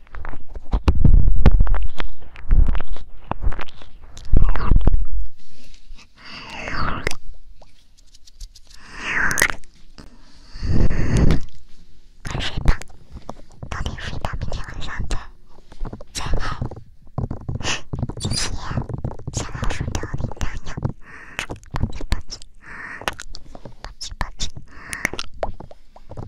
快睡吧，早点睡吧，明天晚上再再爱。谢谢，小老鼠逗铃铛。啵唧啵唧，啵唧啵唧。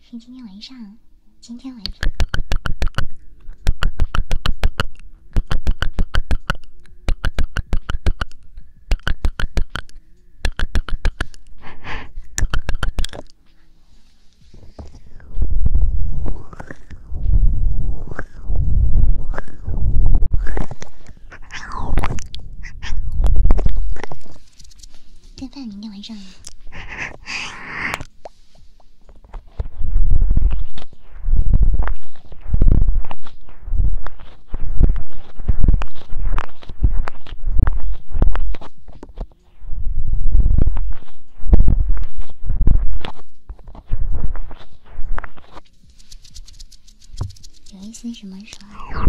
是今天晚上，今天晚上。顿饭明天晚上。有一些什么说？有什么？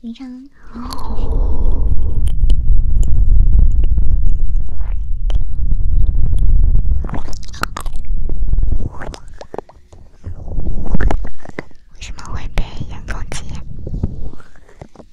你唱。为什么会被人攻击？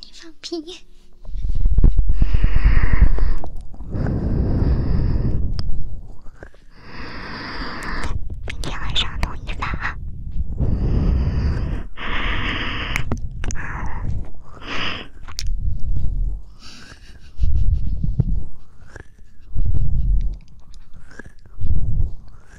你放屁！明天晚上统一发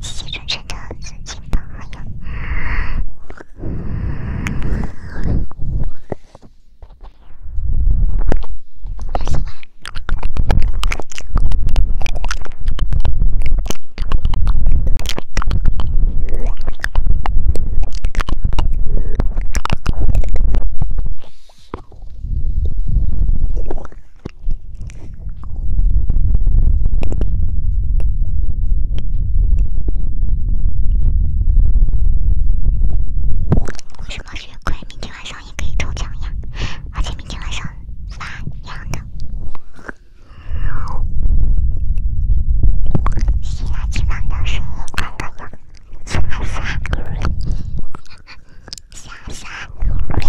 谢谢真诚的尊敬的朋友。为什么血亏？明天晚上也可以抽奖呀，而且明天晚上发一样的。其他技能都是五钻的了，刷刷，刷刷。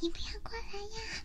你不要过来呀！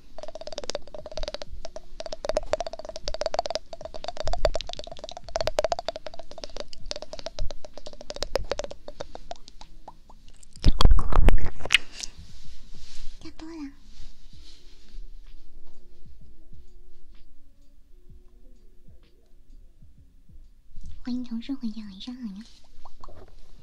加播了，欢迎同事回家，晚上好呀。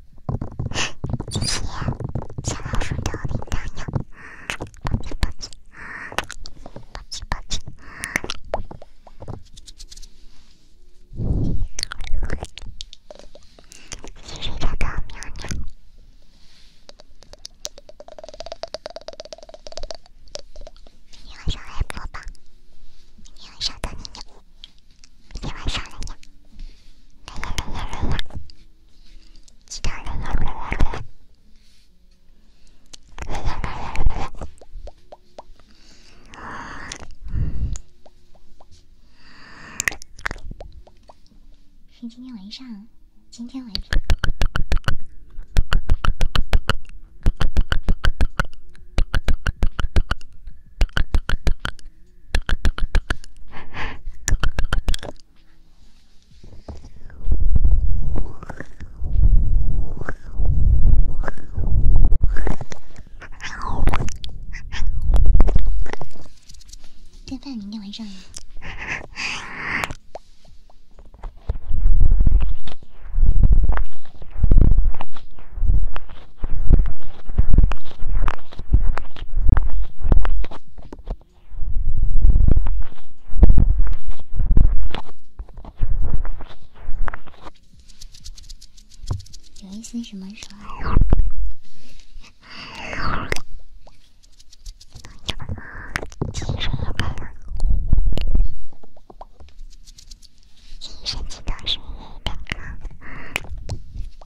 谢谢，想要互动的网友，保持保持，保持保持。你是这个喵喵，明天晚上开播吧，明天晚上等你。今天晚上呀，来有来有来有，其他人来来来来来来。有今天晚上，今天晚上。吃饭，明天晚上。有一些什么说？医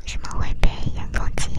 为什么会被严重质疑？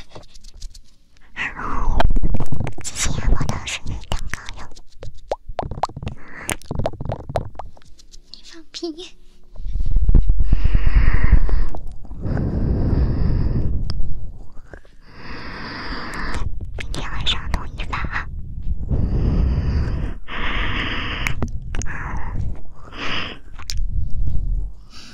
嘻嘻，阿婆都是女蛋糕友，你放屁！明天晚上统一发啊。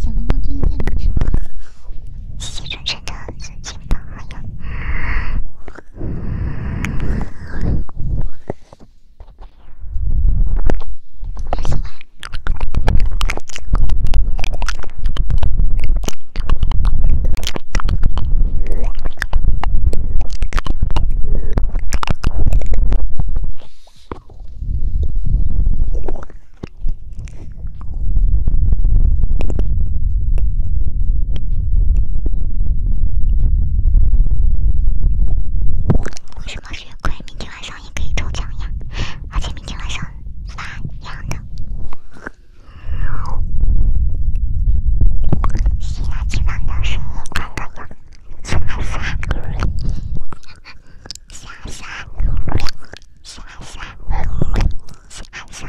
小猫猫对你说：“谢谢主人的关心和为什么血亏？明天晚上也可以抽奖呀，而且明天晚上发一样的。希腊女王的生日快乐呀！刷刷刷刷刷刷刷刷刷刷刷。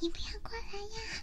你不要过来呀！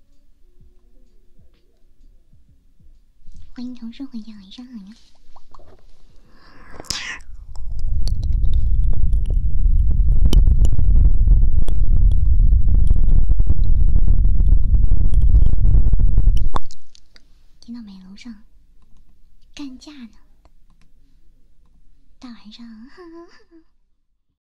欢迎同事回家，晚上好呀！听到美楼上干架呢，大晚上。